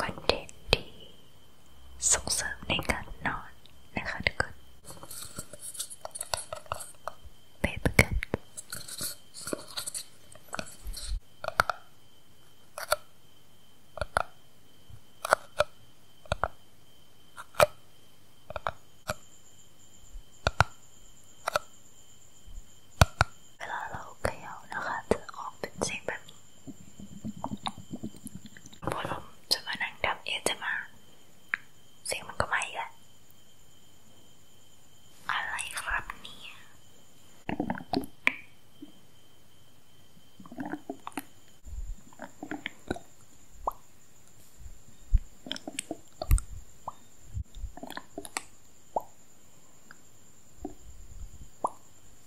คอนเทนต์ที่ส่งเสริมในการนอน นะคะทุกคนไปประกัน เวลาเราเขย่านะคะจะออกเป็นเสียงแบบนี้พอลมจะมานั่งดับเอจะมา เสียงมันก็ไม่ละอะไรครับเนี่ย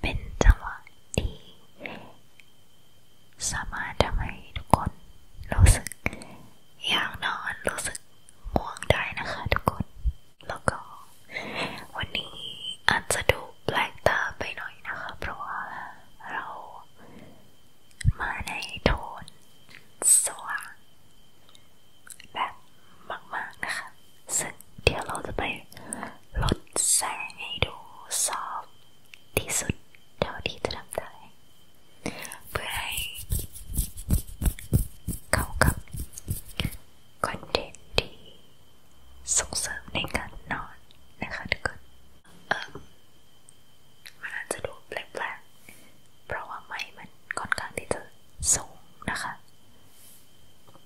เป็นจังหวะที่สามารถทำให้ทุกคนรู้สึก อยากนอนรู้สึกง่วงได้นะคะ ทุกคนแล้วก็ วันนี้อาจจะดูแปลกตาไปหน่อยนะคะเพราะว่าเรามาในโทนสว่างแบบมากๆนะคะซึ่งเดี๋ยวเราจะไปลดแสงให้ดูซอฟที่สุดเท่าที่จะทำได้ เพื่อให้เข้ากับคอนเทนต์ที่ส่งเสริมในการนอนนะคะทุกคนเออมันอาจจะดูแปลกๆ เพราะว่าไม้มันค่อนข้างที่จะสูงนะคะ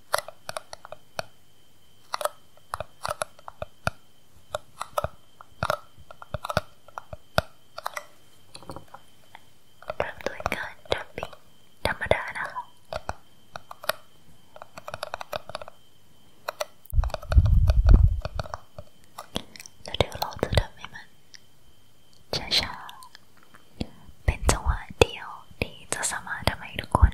เริ่มด้วยการดับปิ้งธรรมดานะคะแล้วเดี๋ยวเราจะดับให้มันช้าๆเป็นจังหวะเดียวที่จะสามารถทำให้ทุกคน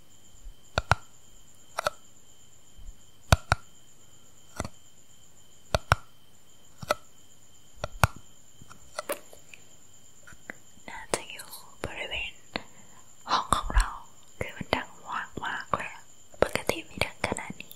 น่าจะอยู่บริเวณ ห้องของเราคือมันดังมาก มากเลยปกติไม่ดังขนาดนี้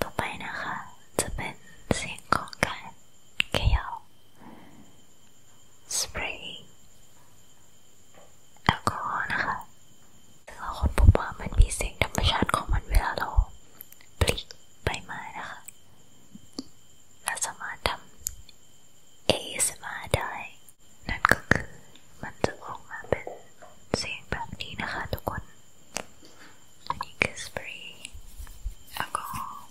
ต่อไปนะคะจะเป็นเสียงของการเขย่าสเปรย์แอลกอฮอล์นะคะซึ่งเราคนพบว่ามันมีเสียงธรรมชาติของมันเวลาเราปลิกใบไม้นะคะเราสามารถทำ ASMR ได้นั่นก็คือมันจะออกมาเป็นเสียงแบบนี้นะคะทุกคนอันนี้คือสเปรย์แอลกอฮอล์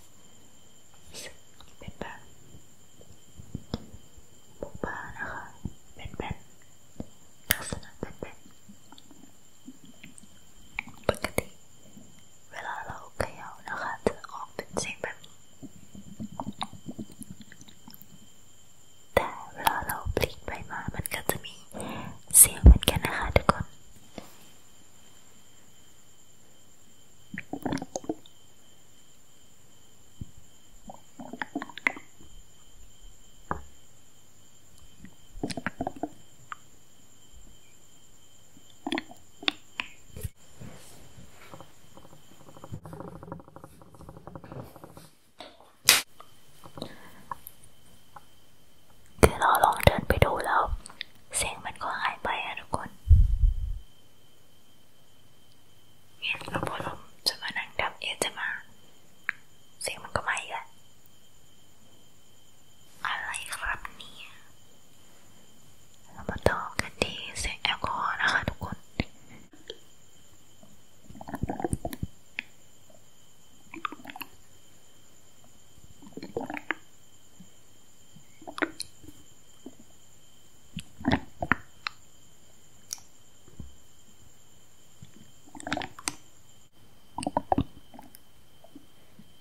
เป็นแบบบุบานะคะเป็นแบบลักษณะเป็นแบบปกติเวลาเราเขย่านะคะจะออกเป็นเสียงแบบนี้แต่เวลาเราพลิกไปมามันก็จะมีเสียงเหมือนกันนะคะทุกคนคือเราลองเดินไปดูแล้วเสียงมันก็หายไปอะทุกคนเห็นเราพอลมจะมานั่งดับเอจะมา เสียงมันก็ไม่อะอะไรครับเนี่ยแล้วมาต่อกันที่เสียงแอลกอฮอล์นะคะทุกคน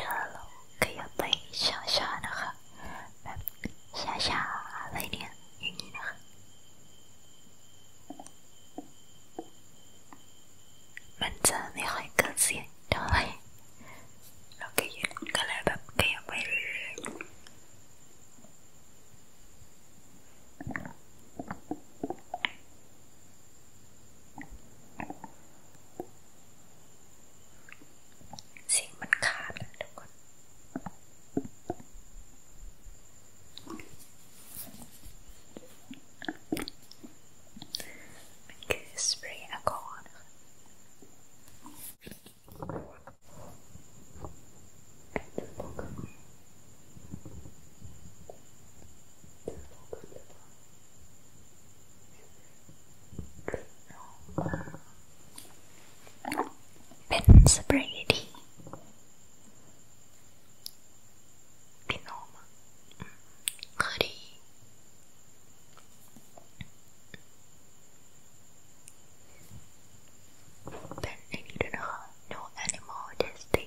ถ้าเราขยับไปช้าๆนะคะ แบบช้าๆอะไรเนี่ยอย่างนี้นะคะ มันจะไม่ค่อยเกิดเสียงเท่าไหร่เราก็ยืนก็เลยแบบขยับไปเรื่อยๆสิ่งมันขาดนะทุกคนมันคือสเปรย์แอลกอฮอล์นะคะ Ben's Brady Binoma Goody Ben I didn't know no animal testing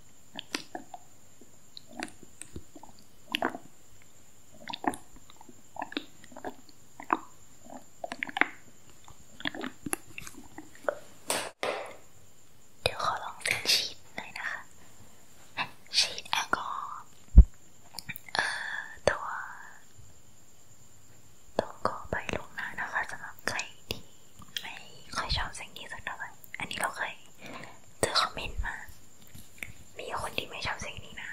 เดี๋ยวขอลองเป็นชีสนอะคะชีสอลกอฮอเอ่อตัวตัวก็ไปลงหน้านะคะสำหรับใครที่ไม่คยชอบสิ่งนี้สักเท่าไหร่อันนี้เราเคยเจอคอมเมนต์มา มีคนที่ไม่ชอบเสียงนี้นะ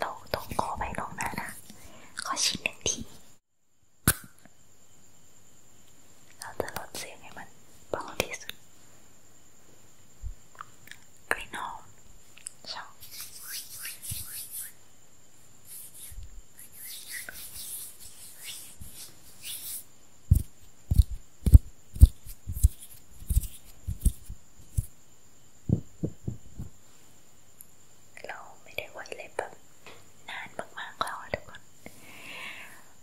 เราต้องขอไปลงหน้านะขอชิ้นหนึ่งทีเราจะลดเสียงให้มันเบาที่สุดกลิ่นหอมชอบเราไม่ได้ไวเล็แบบนานมากๆแล้วทุกคน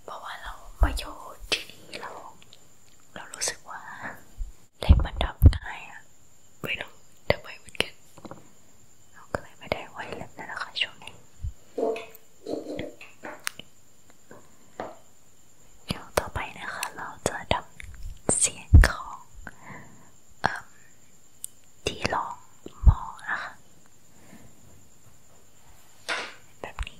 เพราะว่าเรามาอยู่ที่นี่เรา เรารู้สึกว่าเล็บมันดัง่ายอะไม่รู้ทไมเหมก็เลยไม่ได้ไวเล็บนั่นแหละค่ะช่วงเดี๋ยวต่อไปนะคะ เราจะทำเสียงของอที่ลองมองนะคะ แบบนี้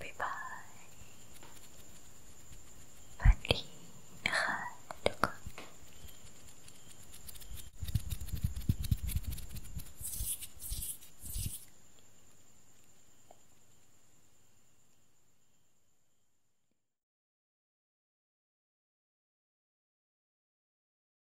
บ๊ายบายฝันดีนะคะทุกคน